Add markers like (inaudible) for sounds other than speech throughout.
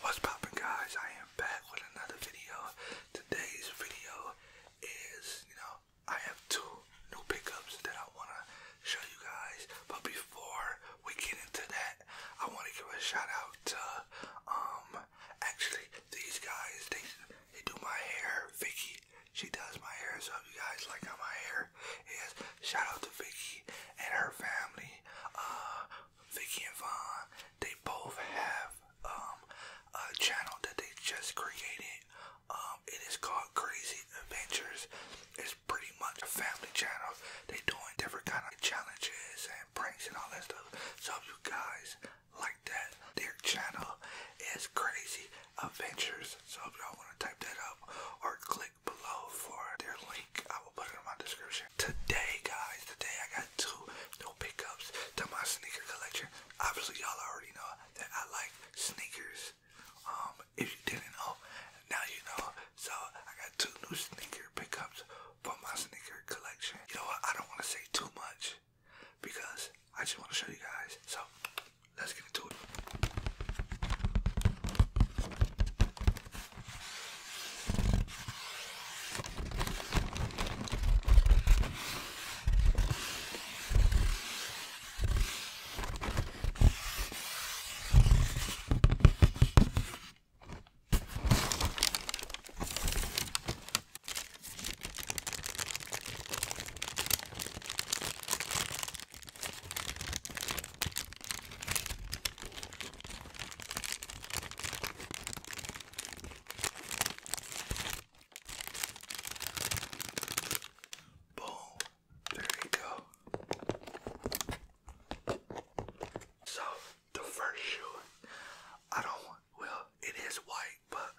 What's poppin' guys? I am back with another video. Today's video is, you know, I have two new pickups that I want to show you guys. But before we get into that, I want to give a shout out to um Actually, these guys, they, they do my hair. Vicky, she does my hair. So you guys like how my hair is, shout out to Vicky and her family. Uh, Vicky and Vaughn, they both have um, a channel that they just created. Um, it is called Crazy Adventures. It's pretty much a family channel. They doing different kind of challenges and and all that stuff. So if you guys like that, their channel is Crazy Adventures. So if y'all want to type that up or click below for their link, I will put it in my description. Today, guys, today I got two new pickups to my sneaker collection. Obviously, y'all already know that I like sneakers. Um, if you didn't know, now you know. So I got two new sneaker pickups for my sneaker collection. You know what? I don't want to say too much because I just want to show you guys. So let's get into it. Boom. There you go. So the first shoe. I don't want, well, it is white, but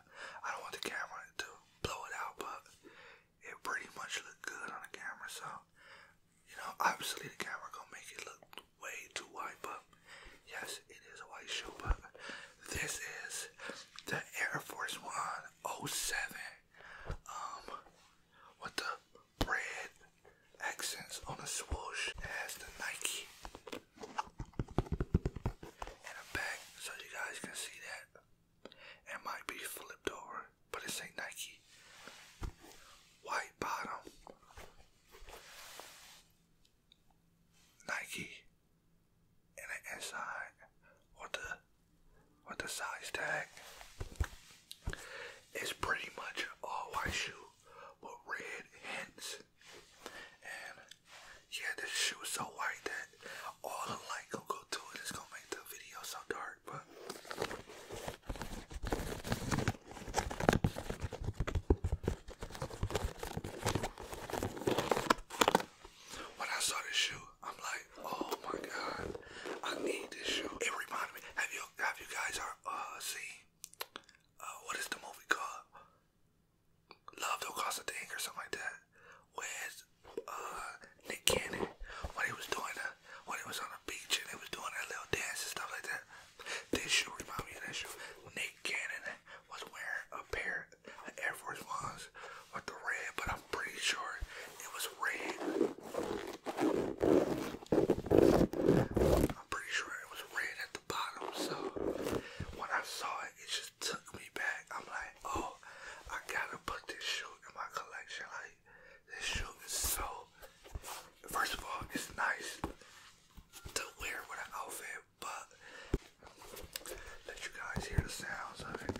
I don't want the camera to blow it out, but it pretty much looked good on the camera, so, you know, obviously the camera gonna make it look way too white, but yes, it is a white shoe, but this is the Air Force One O oh Seven. um, with the bread accents on the swoosh. It has the Nike in the back, so you guys can see that. It might be flipped over, but it say Nike. White bottom. Nike in the inside with the with the size tag. It's pretty much all white shoe with red hints. And yeah, this shoe is so white that all the light gonna go to It's gonna make the video so dark, but when I saw this shoe, I'm like, oh my god. I need this show. It reminded me. Have you have you guys are uh seen uh what is the movie called? Love Don't Cost or something like that. Where's uh, Nick Cannon when he was doing that when he was on the beach and he was doing that little dance and stuff like that. This shoe remind me of that shoe. Nick Cannon was wearing a pair of Air Force Ones with the red, but I'm pretty sure it was red I'm pretty sure it was red at the bottom, so when I saw it, it just took me back. I'm like, oh, I gotta put this shoe in my collection. Like, this shoe is so. First of all, it's nice to wear with an outfit, but let you guys hear the sounds of it.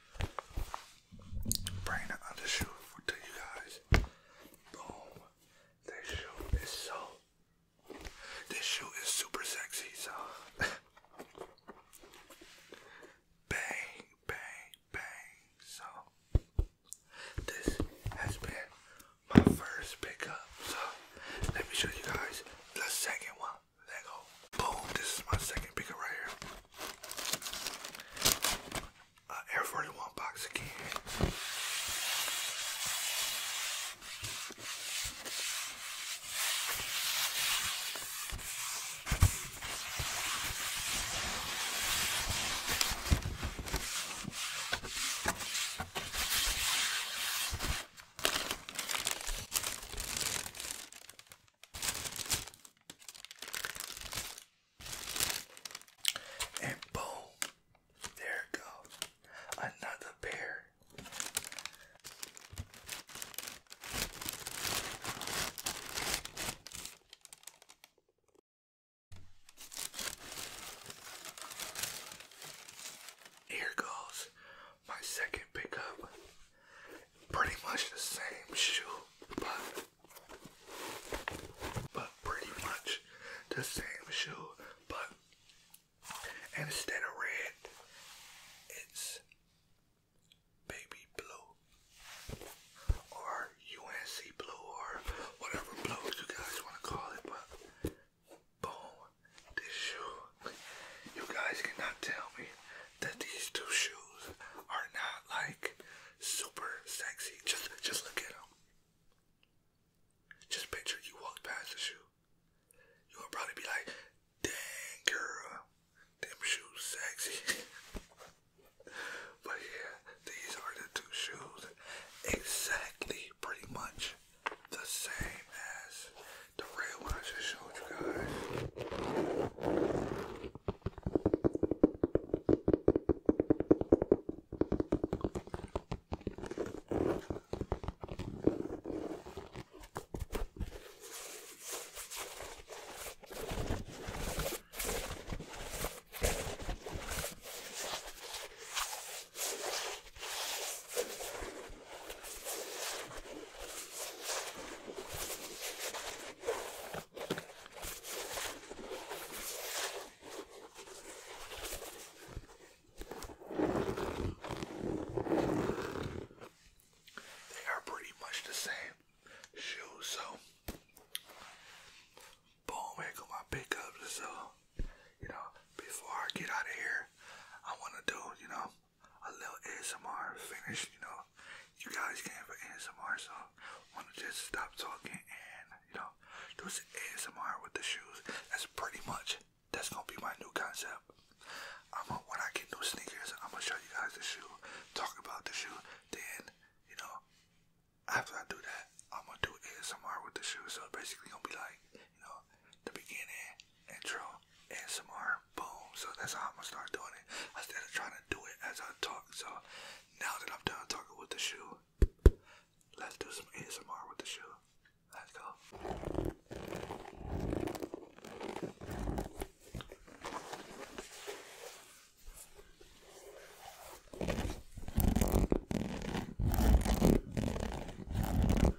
Bring the other to you guys. Boom. This shoe is so. This shoe is super sexy, so. (laughs) bang, bang, bang. So, this has been my first pickup. So, let me show you guys the second one. Lego. Boom, this is my second picker right here. Air 41 box again. And boom, there goes. Another pair. Here goes my second pickup. Pretty much the same shoe, but but pretty much the same shoe, but instead of red, it's baby blue or UNC blue or whatever blue you guys want to call it, but Boom. This shoe. You guys cannot tell me that these two shoes are not like super sexy. Just just look at them. Just picture you walk past the shoe. You would probably be like, dang girl, them shoes sexy. (laughs) but yeah, these are the two shoes. Exactly pretty much the same as the real one I just showed you guys. They are pretty much the same shoes, so boom, here go my pickups. So you know, before I get out of here, I want to do, you know, a little ASMR finish, you know. You guys came for ASMR, so I want to just stop talking and, you know, do some ASMR with the shoes. That's pretty much, that's going to be my new concept. I'm gonna, when I get new sneakers, I'm going to show you guys the shoe, talk about the shoe, then, you know, after I do that, I'm gonna do ASMR with the shoes. So basically, gonna be like you know, the beginning, intro, ASMR, boom. So that's how I'm gonna start doing it. Instead of trying to do it as I talk. So now that I'm done talking with the shoe, let's do some ASMR with the shoe. Let's go.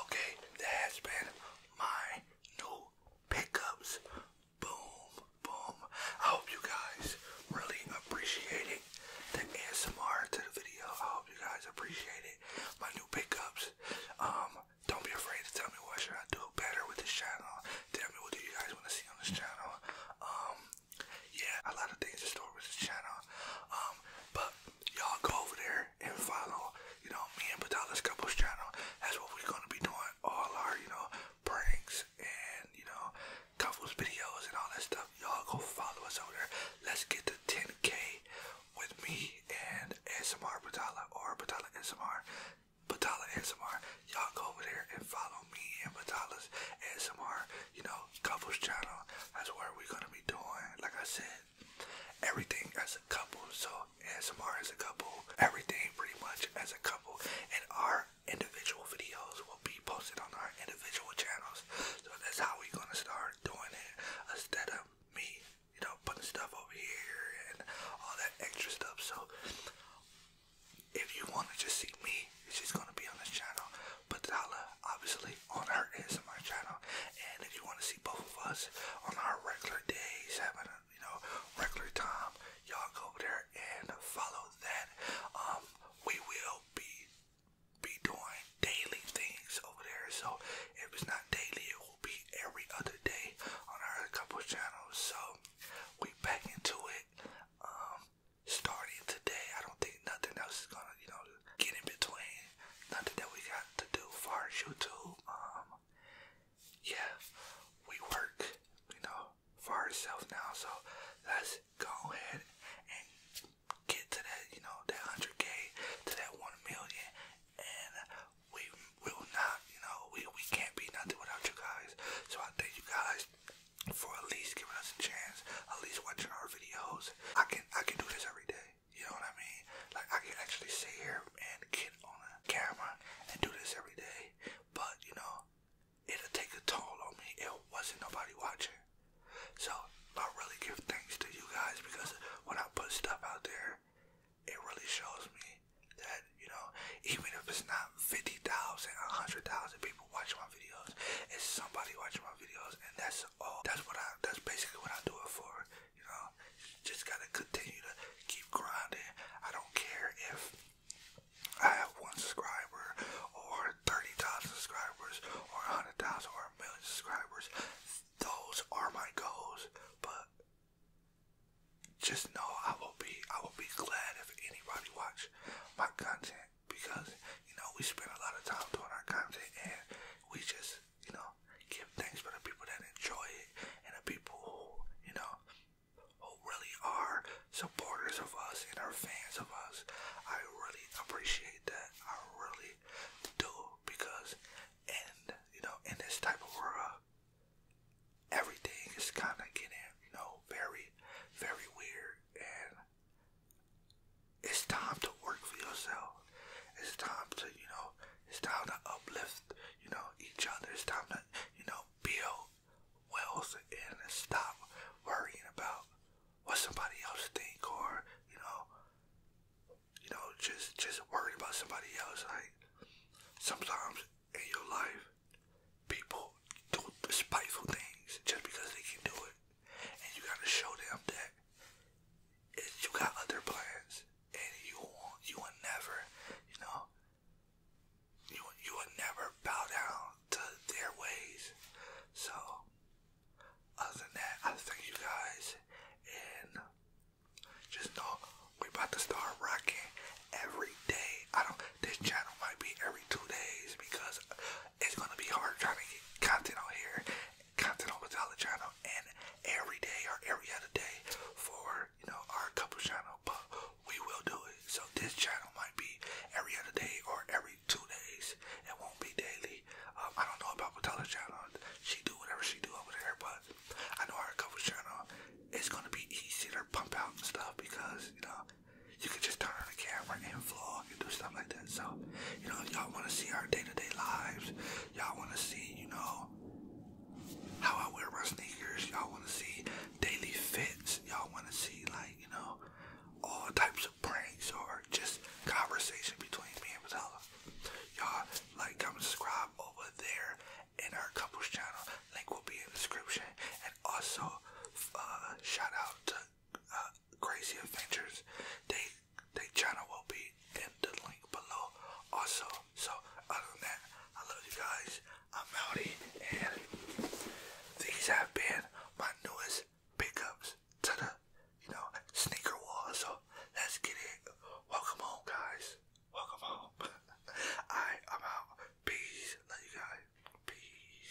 Okay, that has been my new pickups. Boom, boom. I hope you guys really appreciate it. The ASMR to the video. I hope you guys appreciate it. My new pickups. Um, don't be afraid to tell me what should I do better with this channel. Tell me what do you guys want to see on this channel. Um, yeah, a lot of things in store with this channel. Um, but y'all go over there and follow, you know, me and Badalis Couples channel. That's what we're gonna be doing. All our, you know, pranks and you know, couples videos and all that stuff. Y'all go follow us over there. Let's get to 10k with me and SMR Batala or Batala SMR. Batala SMR. Y'all go over there and follow me and Batala's SMR, you know, couples channel. That's where we're gonna be doing, like I said, everything as a couple. So ASMR as a couple, everything pretty much as a couple, and our individual videos will be posted on our individual channels. So that's how we're gonna start doing it instead of me, you know, putting stuff over here and all that extra stuff. So if you wanna just see me, it's just gonna be on this channel. But Dala obviously on her is my channel. And if you wanna see both of us on our regular days, having a, you know, regular time, y'all go there and follow that. Um, we will be be doing daily things over there. So if it's not daily, it will be every other day on our couple channels. So we back into it. Um, starting today, I don't think nothing else is gonna, you know, get in between. Nothing that we got to do for YouTube. Um, yeah, we work, you know, for ourselves now. So let's go ahead and get to that, you know, that hundred K to that one million, and we will not, you know, we we can't be nothing without you guys. So I thank you guys for at least giving us a chance, at least watching our videos. I can I can do this every day. You know what I mean? Like I can actually sit here and get on a camera and do this every day, but you know, it'll take a toll on me. It wasn't nobody watching. So I really give thanks to you guys because when I put stuff out there, it really shows me that, you know, even if it's not 50,000, 100,000 people watching my videos, it's somebody watching my videos, and that's Oh, that's what I. That's basically what I do it for. You know, just gotta continue to keep grinding. I don't care if I have one subscriber or thirty thousand subscribers or a hundred thousand or a million subscribers. Those are my goals, but just know I will be I will be glad if anybody watch my content because you know we spend a lot of time doing our content and we just, you know, give thanks for the people that enjoy it and the people who, you know, who really are supporters of us and are fans of us. I really appreciate that. I really do because and you know in this type of world everything is kinda getting, you know, very, very weird and it's time to work for yourself. It's time to, you know, it's time to uplift, you know, each other. It's time to, you know, build wealth and stop worrying about what somebody else think or, you know, you know, just just worried about somebody else. Like sometimes in your life, people do despiteful things just because they can do it and you gotta show them that you got other plans, and you won't, you will never, you know, you you will never bow down to their ways. So, other than that, I thank you guys, and just know we about to start rocking every day. I don't. This channel might be every two days because it's gonna be hard trying to get content on here, content on the Channel, and every day or every other day for you know our couple channel. But we will do it. So this channel might be every other day or every two days. It won't be daily. Um, I don't know about Patella channel. She do whatever she do over there, but I know our couple channel. It's gonna be easy to pump out stuff because you know you can just turn on the camera and vlog and do stuff like that. So, you know, y'all want to see our day-to-day lives, y'all want to see, you know, how I wear my sneakers, y'all want to see daily fits, y'all want to see, like, you know, all types of pranks or just conversation between me and Patella. Y'all, like, comment, subscribe over there in our couples channel. Link will be in the description. And also, uh, shout out to crazy adventures, they they channel will be in the link below also. So other than that, I love you guys. I'm Melody and these have been my newest pickups to the you know sneaker wall. So let's get it. Welcome home guys. Welcome home. (laughs) I'm out. Peace. Love you guys. Peace.